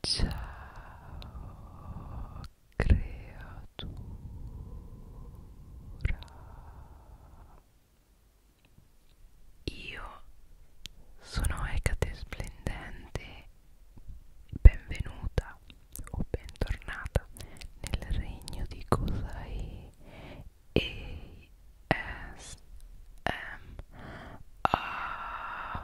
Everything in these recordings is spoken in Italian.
Ciao creatura Io sono Ecate Splendente Benvenuta o bentornata nel regno di Kosai ASMR Ah.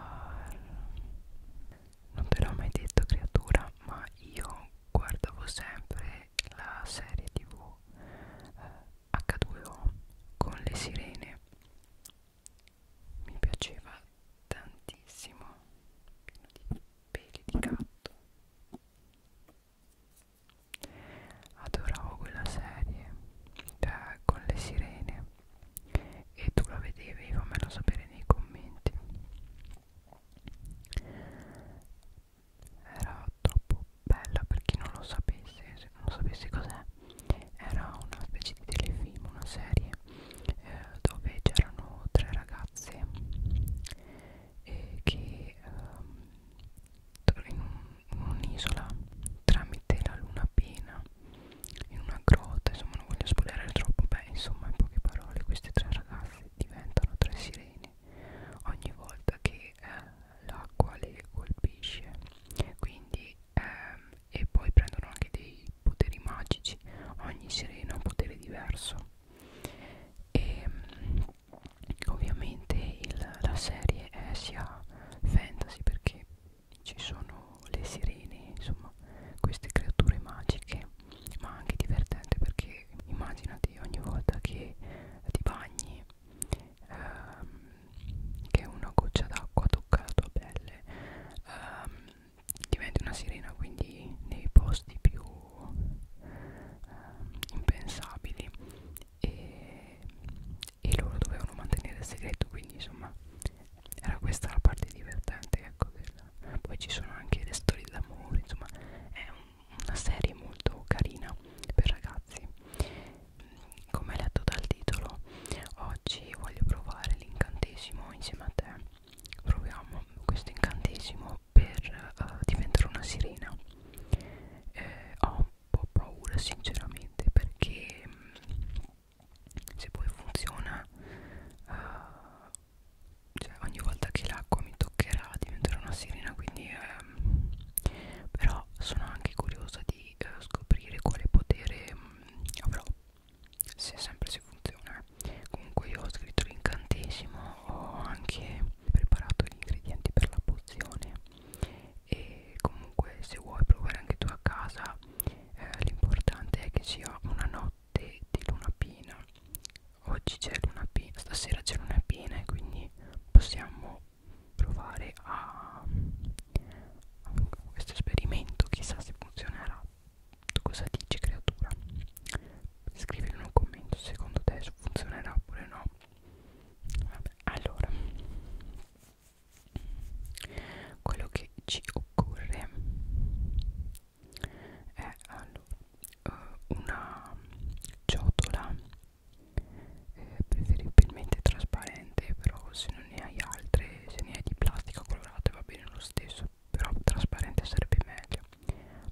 Non te l'ho mai detto creatura, ma io guardavo sempre la serie tv eh, H2O con le sirene. Mi piaceva tantissimo, pieno di peli di gatto. Adoravo quella serie eh, con le sirene e tu la vedevi fammelo sapere nei commenti era troppo bella per chi non lo sapesse se non sapesse cos'è era una specie di telefilm una serie eh, dove c'erano tre ragazze eh, che ehm, in un'isola tramite la luna piena in una grotta insomma non voglio spoilerare troppo beh insomma in poche parole questi tre ragazzi diventano tre sirene ogni volta che eh, l'acqua le colpisce quindi ehm, e poi prendono anche dei poteri magici ogni sirena ha un potere diverso e ehm, ovviamente il, la serie è sia fantasy perché ci sono le sirene, insomma queste creature magiche, ma anche divertente perché immaginati ogni volta che ti bagni, ehm, che una goccia d'acqua tocca la tua pelle, ehm, diventi una sirena, quindi nei posti più ehm, impensabili e, e loro dovevano mantenere il segreto, quindi insomma era questa la parte divertente ecco della... poi ci sono anche le storie d'amore insomma è un, una serie molto carina per ragazzi come letto dal titolo oggi voglio provare l'incantesimo insieme a te proviamo questo incantesimo per uh, diventare una sirena eh, ho un po' paura sinceramente perché mh, mm, se poi funziona uh, cioè ogni volta che l'acqua mi toccherà diventerà una sirena quindi ehm, però sono anche curiosa di eh, scoprire quale potere mh, mm, avrò se sempre si funziona comunque io ho scritto l'incantesimo ho anche preparato gli ingredienti per la pozione e comunque se vuoi provare anche tu a casa eh, l'importante è che sia una notte di luna piena oggi c'è luna piena stasera c'è luna piena e quindi possiamo provare a, a questo esperimento chissà se funzionerà tu cosa dici creatura scrivilo in un commento secondo te funzionerà oppure no Vabbè, allora quello che ci occorre è allora, eh, una ciotola eh, preferibilmente trasparente però se non ne hai altre se ne hai di plastica colorata va bene lo stesso però trasparente sarebbe meglio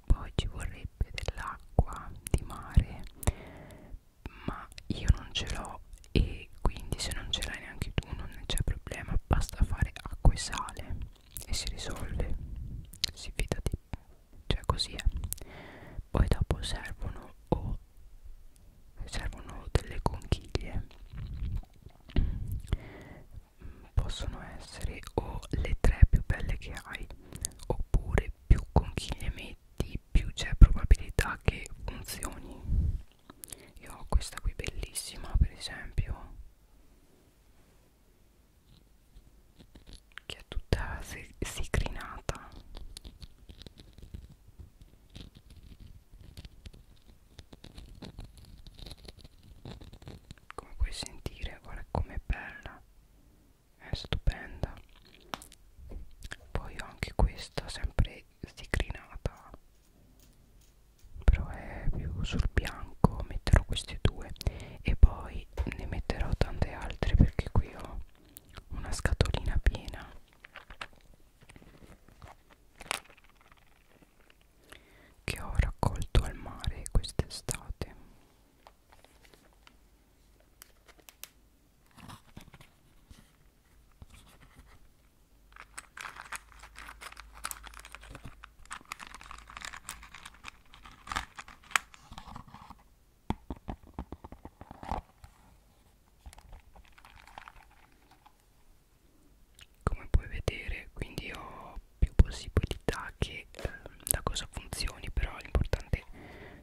poi ci vorrebbe dell'acqua di mare ma io non ce l'ho e quindi se non ce l'hai neanche tu non c'è problema basta fare acqua e sale e si risolve si fidati cioè così è poi dopo servono o servono delle conchiglie possono essere o le tre più belle che hai oppure più conchiglie metti più c'è probabilità che funzioni io ho questa qui bellissima per esempio che è tutta sicrinata come puoi sentire guarda com'è bella è stupenda poi ho anche questa sempre sticrinata però è più sul bianco metterò questi due e poi ne metterò tante altre perché qui ho una scatolina piena che ho raccolto al mare quest'estate come puoi vedere, quindi ho più possibilità che eh, da cosa funzioni, però l'importante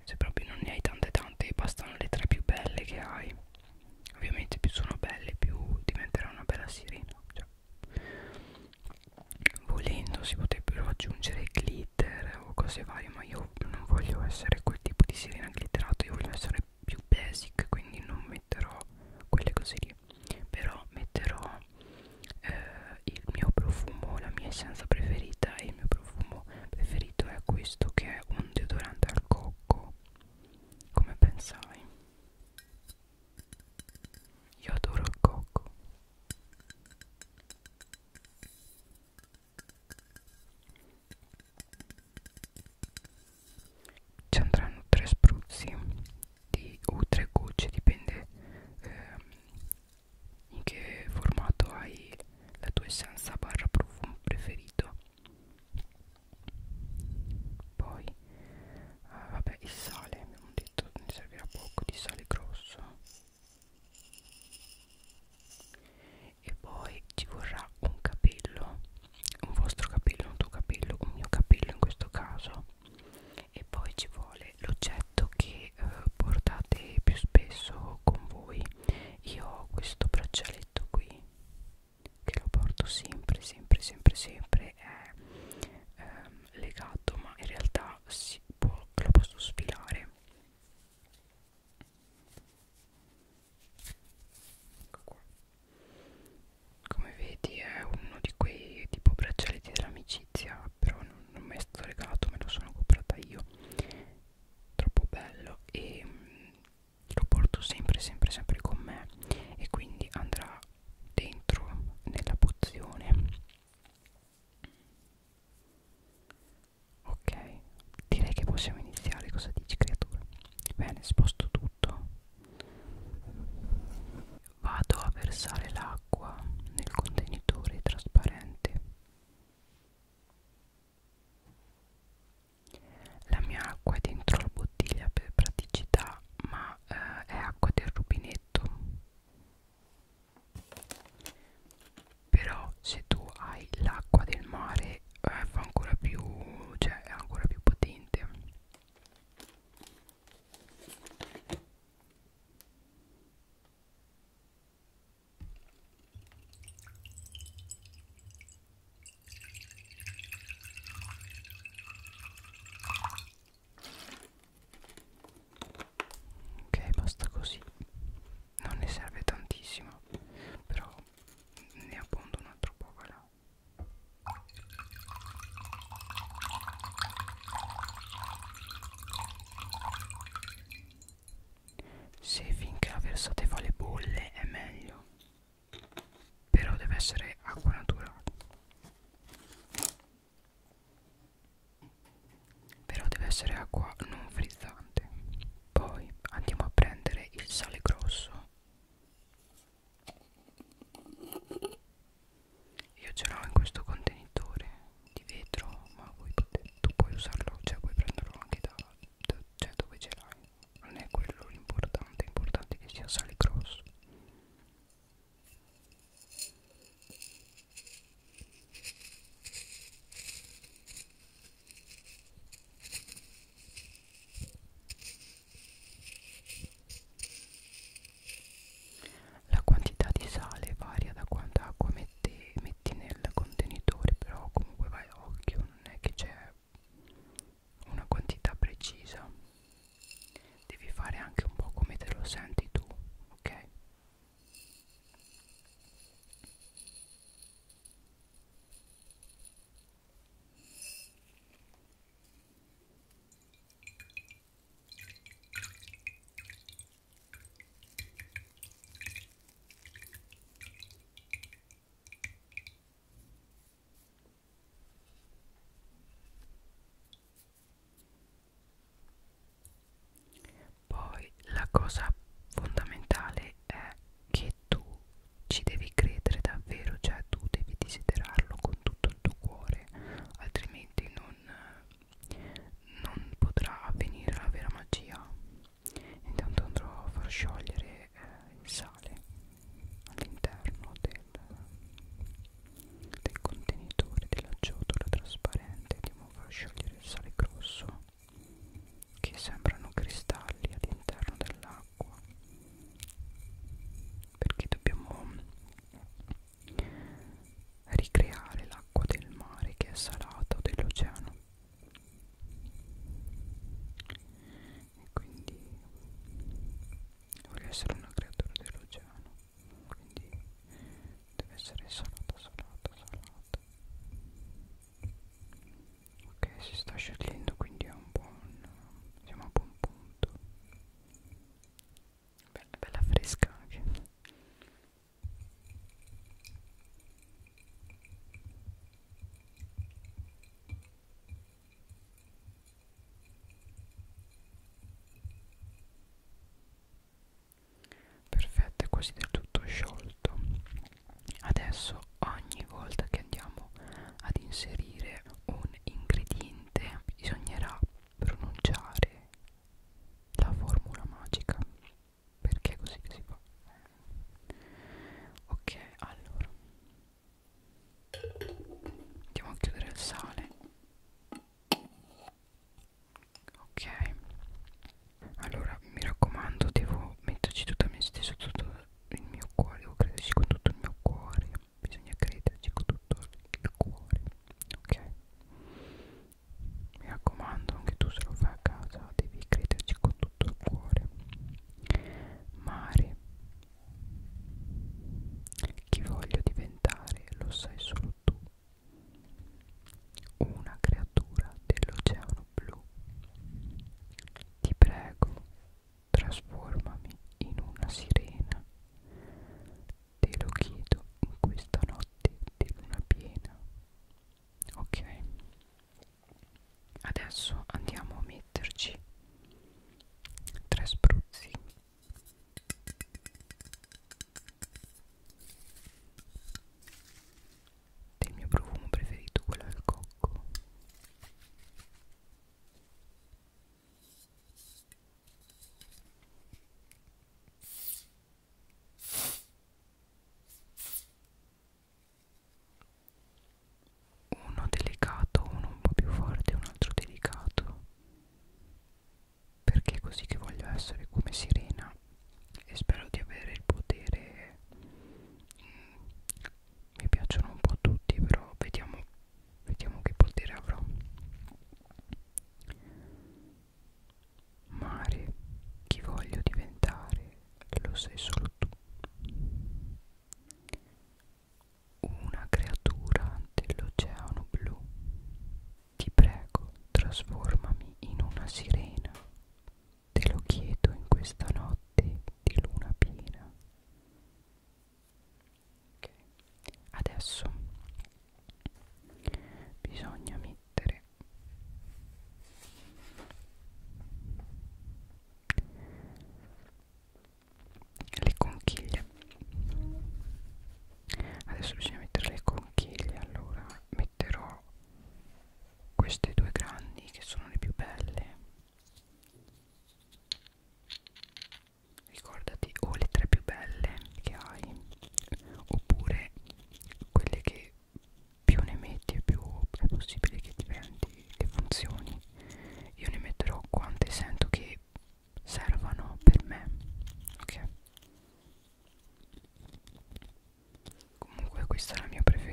se proprio non ne hai tante tante, bastano le tre più belle che hai ovviamente più sono belle più diventerà una bella sirena cioè, volendo si potrebbero aggiungere glitter o cose varie ma io non voglio essere quel tipo di sirena glitterata io voglio essere più basic quindi non metterò quelle cose lì però metterò eh, il mio profumo la mia essenza preferita e il mio profumo preferito è questo che è un deodorante al cocco come pensai io adoro il cocco ci andranno tre spruzzi di, o tre gocce dipende ehm, in che formato hai la tua essenza barra profumo preferito poi ah, vabbè il sale abbiamo detto ne servirà poco di sale grosso e poi ci vorrà un capello un vostro capello un tuo capello un mio capello in questo caso e poi ci vuole l'oggetto che eh, portate più spesso con voi io ho questo braccialetto qui che lo porto sempre sempre sempre sempre è ehm, legato ma in realtà si può, lo posso sfilare ecco qua come vedi è uno di quei tipo braccialetti dell'amicizia però non, non mi è stato legato me lo sono comprata io troppo bello e lo porto sempre sempre sempre con me e quindi andrà dentro nella pozione ok direi che possiamo iniziare cosa dici creatura bene sposto tutto vado a versare l'acqua nel contenitore trasparente la mia acqua è dentro la bottiglia per praticità, ma eh, è acqua del rubinetto. Però se tu hai l'acqua del mare eh, fa ancora più, cioè è ancora più potente ok basta così non ne serve tantissimo però ne appondo un altro po' là se finché la versate fa le bolle è meglio però deve essere acqua naturale però deve essere acqua non frizzante poi andiamo a prendere il sale grosso io ce l'ho in questo contenitore di vetro ma voi potete, tu puoi usarlo cioè puoi prenderlo anche da, da cioè dove ce l'hai non è quello l'importante, è importante che sia sale grosso la quantità di sale varia da quanta acqua metti, metti nel contenitore però comunque vai a occhio non è che c'è una quantità precisa devi fare anche un po' come te lo senti tu ok poi la cosa fondamentale è che tu ci devi credere davvero, cioè tu devi desiderarlo con tutto il tuo cuore, altrimenti non, non potrà avvenire la vera magia intanto andrò a far sciogliere eh, il sale all'interno del, del contenitore della ciotola trasparente andiamo a far sciogliere il sale grosso che sembrano cristalli all'interno dell'acqua perché dobbiamo ricreare l'acqua del mare che è salata o dell'oceano e quindi voglio essere una creatura dell'oceano quindi deve essere salata salata salata ok si sta sciogliendo quindi è un buon siamo a buon punto bella bella fresca anche Perfetto, è quasi del tutto sciolto. Adesso ogni volta che andiamo ad inserire un ingrediente bisognerà pronunciare la formula magica. Perché è così che si fa? ok allora andiamo a chiudere il sale ok allora mi raccomando devo metterci tutta me stesso tutto il mio cuore devo crederci con tutto il mio cuore bisogna crederci con tutto il cuore ok mi raccomando anche tu se lo fai a casa devi crederci con tutto il cuore Mare Chi voglio diventare lo sai solo tu Una creatura dell'oceano blu Ti prego trasformami in una sirena Te lo chiedo in questa notte di luna piena Ok adesso andiamo a metterci tre spruzzi del mio profumo preferito quello del cocco uno delicato, uno un po' più forte, un altro delicato, perché è così che voglio essere come sirena e spero di avere il potere, mm, mi piacciono un po' tutti, però vediamo, vediamo che potere avrò. Mare, chi voglio diventare? lo sei solo tu. Una creatura dell'oceano blu. Ti prego, trasformami in una sirena. Te lo chiedo in questa notte di luna piena. Ok, adesso bisogna mettere le conchiglie adesso bisogna mettere le conchiglie allora metterò queste due grandi che sono le più belle ricordati o le tre più belle che hai oppure quelle che e più ne metti e più è possibile che diventi, che funzioni. Io ne metterò quante sento che servano per me, ok? Comunque questa è la mia preferita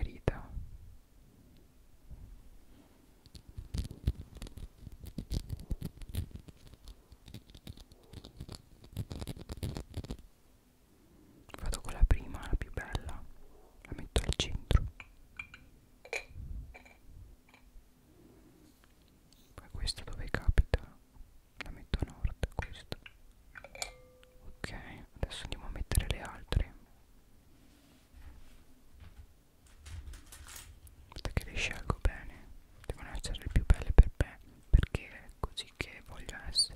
vado con la prima, la più bella la metto al centro poi questa dove capita la metto a nord questa ok adesso andiamo a mettere le altre aspetta che le scelgo bene devono essere le più belle per me perché è così che voglio essere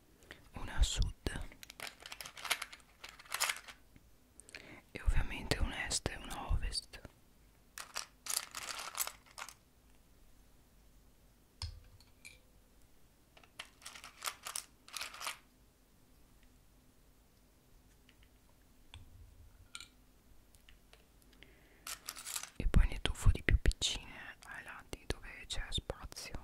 una a sud e ovviamente un est e una ovest e poi ne tuffo di più piccine ai lati dove c'è spazio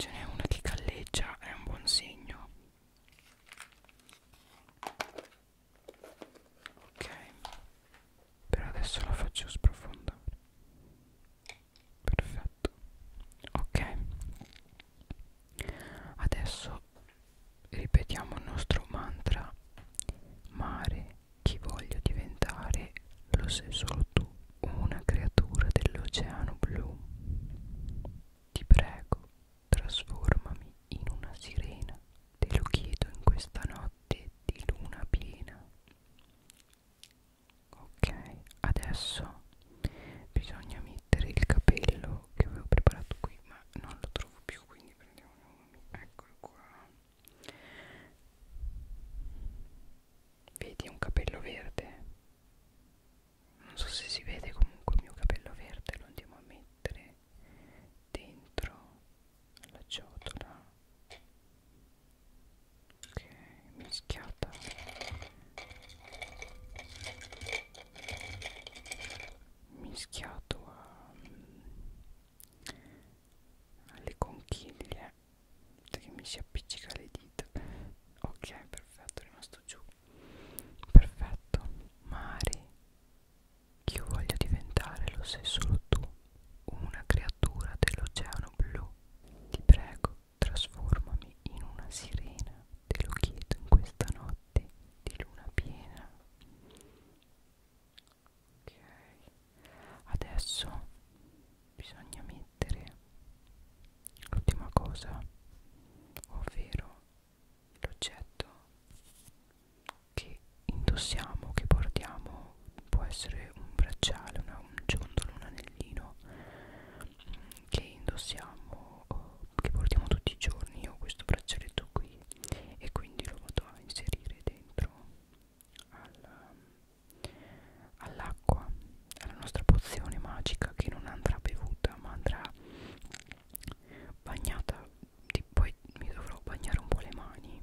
Ce n'è una che galleggia, è un buon segno. Ok, per adesso la faccio sprofondare. Perfetto. Ok. Adesso ripetiamo il nostro mantra Mare, chi voglio diventare, lo sei solo tu, una creatura dell'oceano blu. Ti prego, trasformami in una sirena, te lo chiedo in questa notte di luna piena. Ok, adesso bisogna mettere il capello che avevo preparato qui, ma non lo trovo più, quindi quindi prendiamo uno eccolo qua vedi un capello verde non so se si vede comunque il mio capello verde lo andiamo a mettere dentro la ciotola ok mischiata mischiato a, mm, alle conchiglie che mi si appiccica le dita ok perfetto è rimasto giù perfetto Mari che io voglio diventare lo sei solo tu una creatura dell'oceano blu ti prego trasformami in una sirena te lo chiedo in questa notte di luna piena ok adesso bisogna mettere l'ultima cosa ovvero l'oggetto che indossiamo che portiamo può essere un bracciale una, un ciondolo un anellino mm, che indossiamo che portiamo tutti i giorni io ho questo braccialetto qui e quindi lo vado a inserire dentro all'acqua all alla nostra pozione magica che non andrà bevuta ma andrà bagnata di, poi mi dovrò bagnare un po' le mani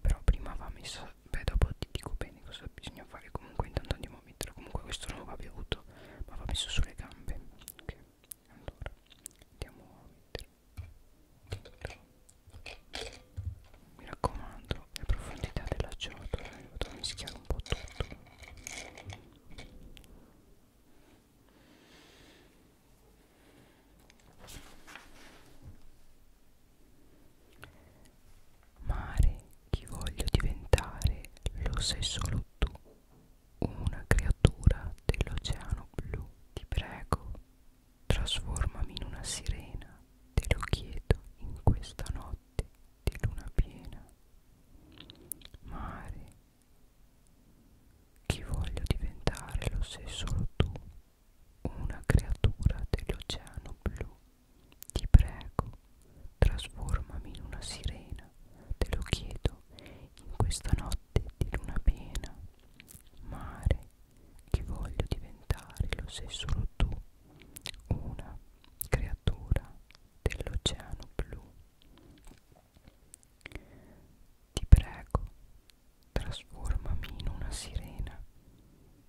però prima va messa beh dopo ti dico bene cosa bisogna fare comunque intanto andiamo a mettere comunque questo non va bevuto ma va messo sulle gambe ok allora andiamo a mettere mi raccomando le profondità della ciotola mi vado a mischiare un po' tutto Mare, chi voglio diventare, lo sai solo tu una creatura dell'oceano blu, ti prego, trasformami in una sirena, te lo chiedo in questa notte di luna piena. Mare, chi voglio diventare lo sei solo tu, una creatura dell'oceano blu, ti prego, trasformami in una sirena, te lo chiedo vento in questa notte di luna piena mare che voglio diventare lo sei solo tu una creatura dell'oceano blu ti prego trasformami in una sirena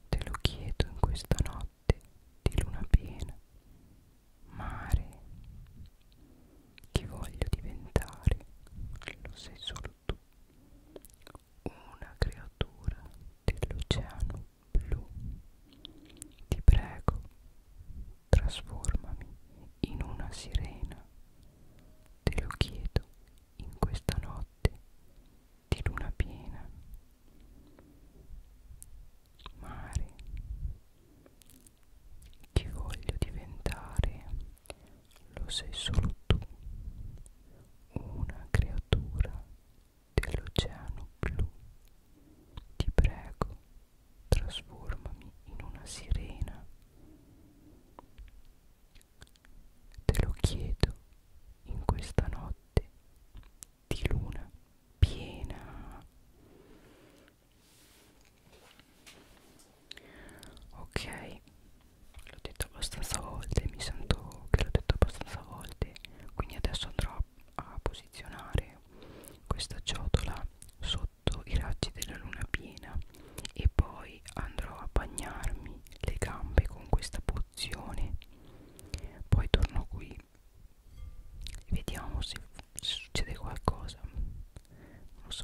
te lo chiedo in questa notte di luna piena mare chi voglio diventare lo sei solo tu una creatura dell'oceano blu ti prego trasformami in una sirena te lo chiedo in questa notte di luna piena mare chi voglio diventare lo sei solo tu, una creatura dell'oceano blu. Ti prego, trasformami in una sirena. Te lo chiedo in questa notte di luna piena ok l'ho detto abbastanza volte mi sento che l'ho detto abbastanza volte quindi adesso andrò a posizionare questa ciotola sotto i raggi della luna piena e poi andrò a bagnarmi le gambe con questa pozione poi torno qui vediamo se se succede qualcosa non lo so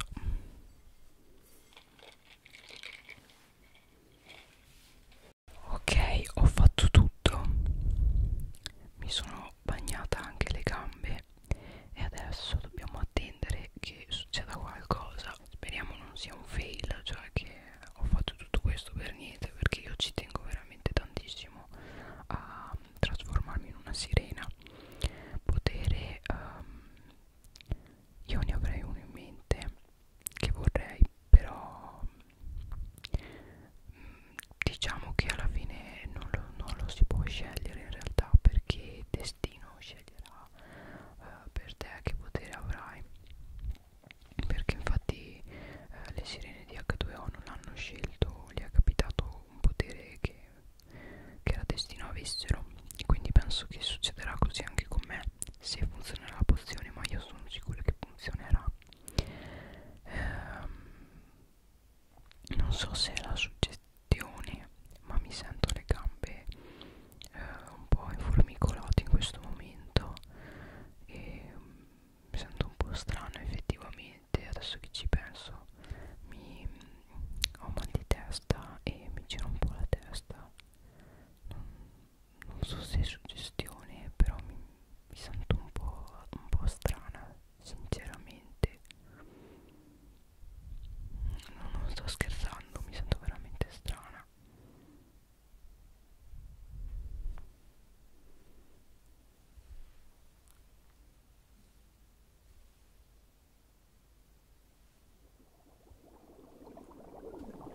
ok ho fatto tutto mi sono bagnata anche le gambe e adesso dobbiamo attendere che succeda qualcosa speriamo non sia un fail cioè che ho fatto tutto questo per niente perché io ci tengo veramente tantissimo a trasformarmi in una sirena potere um, io ne avrei uno in mente che vorrei però um, diciamo che alla fine non lo, non lo si può scegliere in realtà perché il destino sceglierà uh, per te che potere avrai perché infatti eh, le sirene di H2O non hanno scelto, gli è capitato un potere che che la destino avessero e quindi penso che succederà così anche con me se funzionerà la pozione ma io sono sicuro che funzionerà eh, non so se è la suggestione ma mi sento le gambe eh, un po' informicolate in questo momento e mm, mi sento un po' strano effettivamente niente adesso che ci penso mi ho mal di testa e mi gira un po' la testa non, non so se è suggestione però mi, mi sento un po', un po' strana sinceramente non, non sto scherzando mi sento veramente strana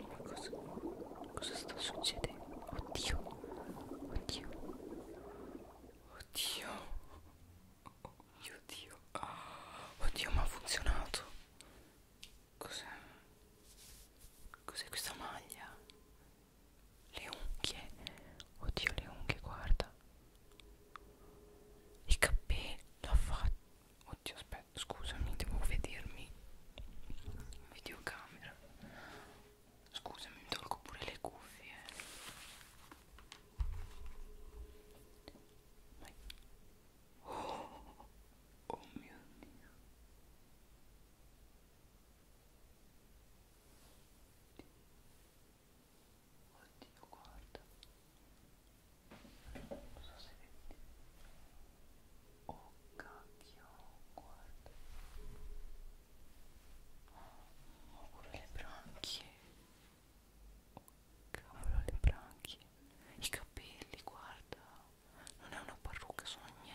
ma cosa, cosa sta succedendo? Oddio, oddio, oddio, oddio, oddio, ma ha funzionato. Cos'è? Cos'è questa maglia? Le unghie, oddio, le unghie, guarda i capelli l'ha fatto oddio aspetta scusami devo vedermi videocamera scusami mi tolgo pure le cuffie Vai. Oh, oh mio dio Oddio, guarda. Non so se vedi. Oh cacchio, guarda. Oh, pure le branchie. Oh cavolo, le branchie. I capelli, guarda. Non è una parrucca, sono miei.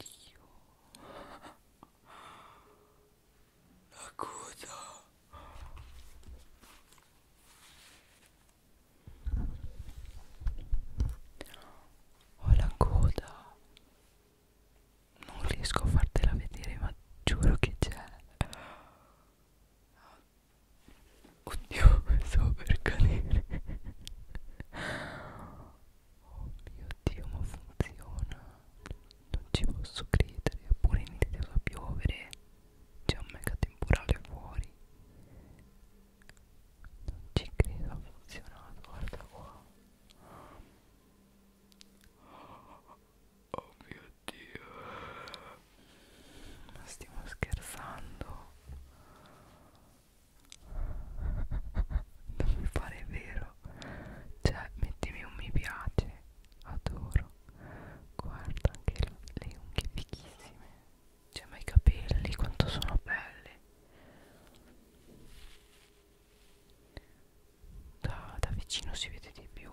Dio la coda ho la coda non riesco a fartela vedere ma giuro che c'è oddio stavo per cadere Oh mio Dio, ma funziona! Non ci posso credere, eppure è iniziato a piovere. C'è un mega temporale fuori. Non ci credo, ha funzionato, guarda qua. Oh mio Dio. Ma stiamo scherzando. Non mi pare vero cioè mettimi un mi piace adoro guarda anche le, le unghie fichissime cioè ma i capelli quanto sono belli da, da vicino si vede di più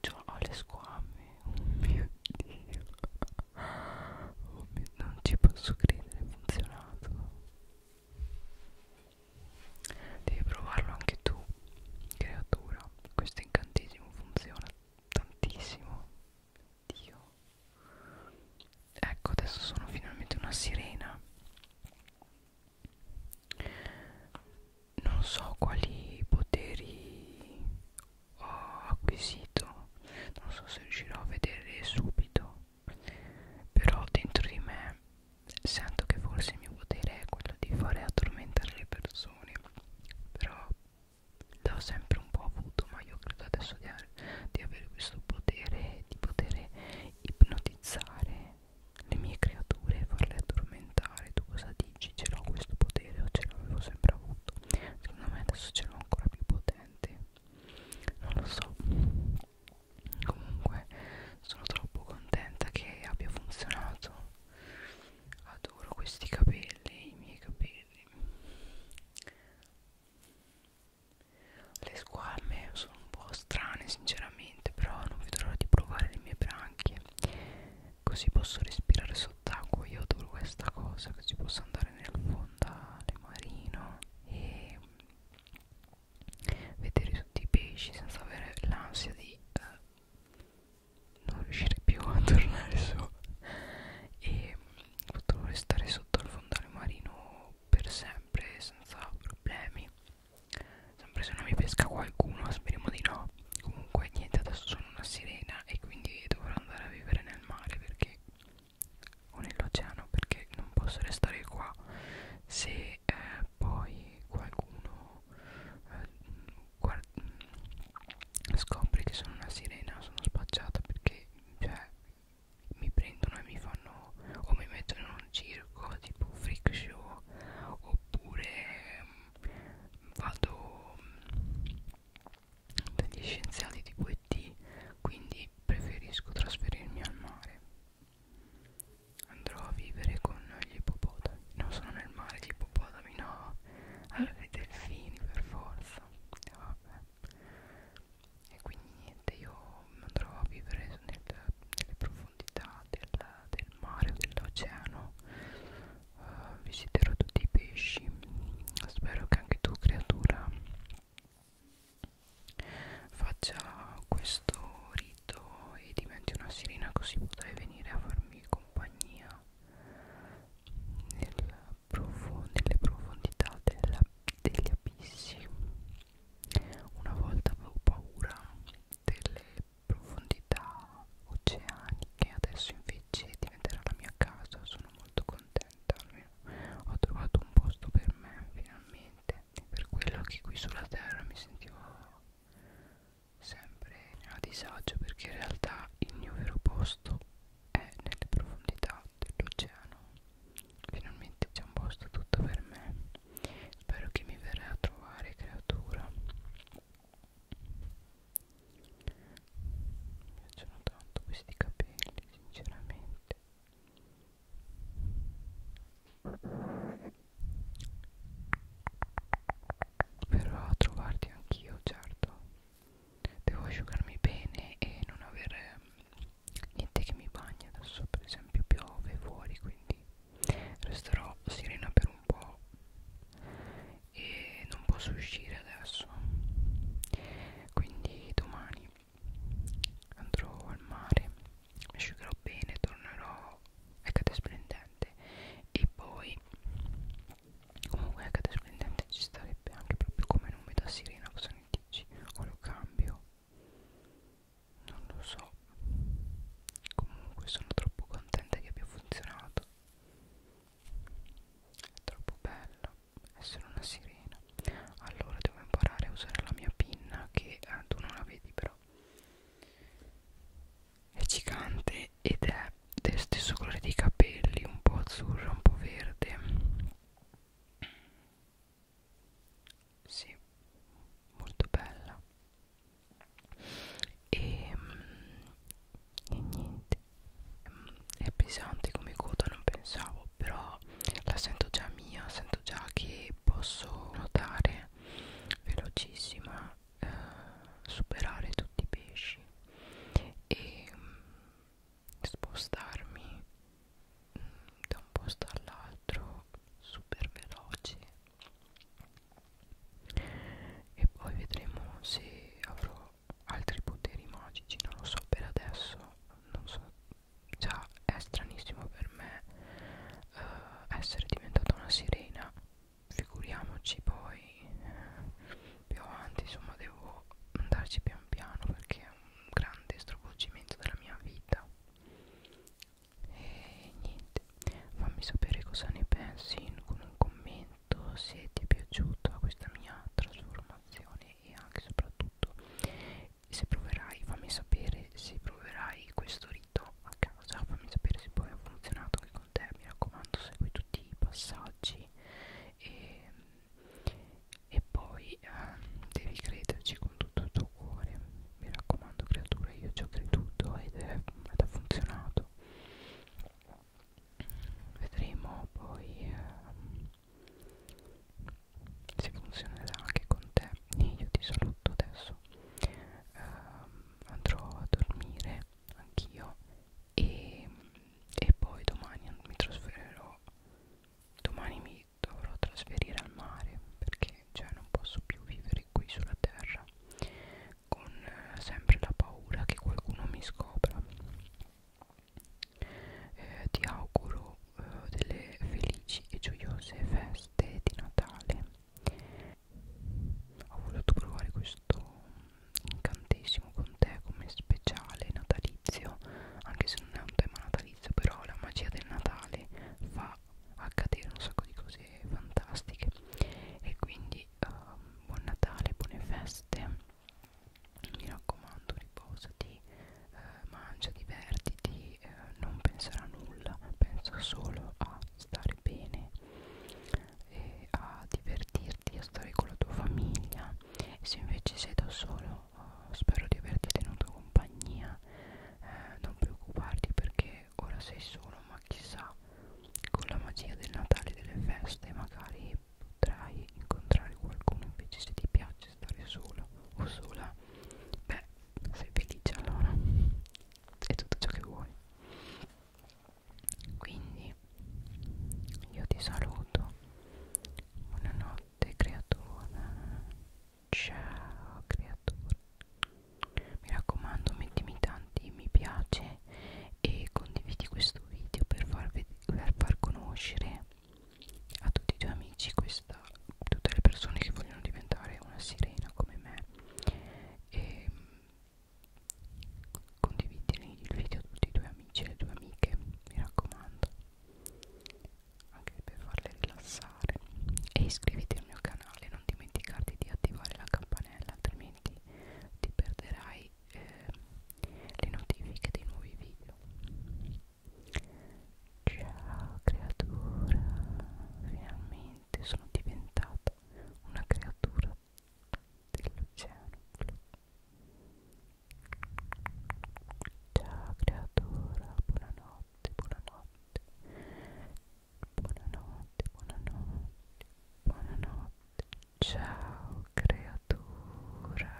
cioè, ho le squame oh mio dio oh mio, non ci posso credere funzionato Devi provarlo anche tu, creatura. Questo incantesimo funziona tantissimo. Dio. Ecco, adesso sono finalmente una sirena. Non so quali poteri ho acquisito. Non so se riuscirò a vederli subito però dentro di me sento che forse il mio potere è quello di fare addormentare le persone però l'ho sempre un po' avuto ma io credo adesso di, di avere questo potere di poter ipnotizzare le mie creature e farle addormentare tu cosa dici? ce l'ho questo potere o ce l'avevo sempre avuto? secondo me adesso ce l'ho ancora più potente non lo so comunque sono troppo contenta che abbia funzionato adoro questi capelli i miei capelli le squame sono un po' strane sinceramente però non vedo l'ora di provare le mie branchie così posso respirare sott'acqua io adoro questa cosa così posso andare nel fondale marino e vedere tutti i pesci senza avere l'ansia di eh, non riuscire più a tornare su e potrò restare sotto al fondale marino per sempre senza problemi sempre se non mi pesca qualcuno speriamo di no comunque niente adesso sono una sirena e quindi dovrò andare a vivere nel mare perché o nell'oceano perché non posso restare qua se eh, poi qualcuno eh, scopre che sono una sirena sono spacciata perché cioè, mi prendono e mi fanno o mi mettono in un circo tipo freak show oppure mm, vado mm, dagli scienziati tipo ET quindi preferisco trasferirmi al mare Andrò a vivere con gli ippopotami. Non sono nel mare gli ippopotami, no. Allora i delfini per forza. Vabbè. E quindi niente, io andrò a vivere nel, nelle profondità del, del mare o dell'oceano. Uh, visiterò tutti i pesci. Spero che anche tu, creatura, faccia questo rito e diventi una sirena così potrai venire a farmi compagnia nel prof nelle profondità della, degli abissi una volta avevo paura delle profondità oceaniche adesso invece diventerà la mia casa sono molto contenta almeno ho trovato un posto per me finalmente niente e per quello che qui sulla terra mi sentivo sempre a disagio perché in realtà il mio vero posto è nelle profondità dell'oceano finalmente c'è un posto tutto per me spero che mi verrai a trovare creatura mi piacciono tanto questi capelli sinceramente Verrò a trovarti anch'io, certo. Devo asciugarmi bene e non avere mm, niente che mi bagna. Adesso, per esempio, piove fuori, quindi resterò sirena per un po' e non posso uscire adesso. Quindi domani andrò al mare mi asciugherò bene tornerò a cade splendente e poi comunque a cade splendente ci starebbe anche proprio come nome da sirena cosa ne dici o lo cambio non lo so comunque sono troppo contenta che abbia funzionato è troppo bello essere una sirena allora devo imparare a usare la mia pinna che eh, tu non la vedi però è gigante ed è del stesso colore dei capelli un po' azzurro un po' verde sì molto bella e, mm, e niente mm, è pesante come coda non pensavo nuovo però la sento già mia sento già che posso nuotare velocissima eh, superare tutti i pesci e mh, mm, spostarmi mh, mm, da un posto all'altro super veloce e poi vedremo se avrò altri poteri magici non lo so per adesso non so già cioè, è stranissimo per me eh, essere diventata una sirena figuriamoci poi eh, più avanti insomma devo andarci pian piano perché è un grande stravolgimento della mia vita e niente fammi sapere cosa ne pensi con un commento se ti è piaciuta questa mia trasformazione e anche soprattutto se proverai fammi sapere se proverai questo rito a casa fammi sapere se poi ha funzionato anche con te mi raccomando segui tutti i passaggi e, e poi eh, devi crederci con tutto il tuo cuore mi raccomando creatura io ci ho creduto ed, è, ed ha funzionato vedremo poi eh, se funzionerà anche con te io ti saluto adesso ehm, andrò a dormire anch'io e, e poi domani mi trasferirò domani mi dovrò trasferire al mare perché cioè, non posso più vivere qui sulla terra con eh, sempre la paura che qualcuno mi scopra eh, ti auguro eh, delle felici e gioiose feste di Natale ho voluto provare questo incantesimo con te come speciale natalizio anche se non è un tema natalizio però la magia del Natale fa accadere un sacco di cose fantastiche e quindi um, buon Natale buone feste mi raccomando riposati eh, mangia, divertiti, eh, non pensare a nulla, pensa solo a stare bene, e a divertirti, a stare con la tua famiglia. E se invece sei da solo, eh, spero di averti tenuto compagnia, eh, non preoccuparti perché ora sei solo, ma chissà, con la magia del Natale e delle feste magari potrai incontrare qualcuno invece se ti piace di stare solo o sola, beh, sei felice allora, è tutto ciò che vuoi. Quindi io ti saluto, buonanotte creatura, ciao creatura, mi raccomando mettimi tanti mi piace e condividi questo video per far, per far conoscere a tutti i tuoi amici questa tutte le persone che vogliono diventare una sirena come me e condividere il video a tutti i tuoi amici e le tue amiche mi raccomando anche per farle rilassare e iscriviti al mio canale non dimenticarti di attivare la campanella altrimenti ti perderai eh, le notifiche dei nuovi video Ciao creatura, finalmente sono diventata una creatura dell'oceano. Ciao creatura, buonanotte, buonanotte. Buonanotte, buonanotte, buonanotte. Ciao creatura.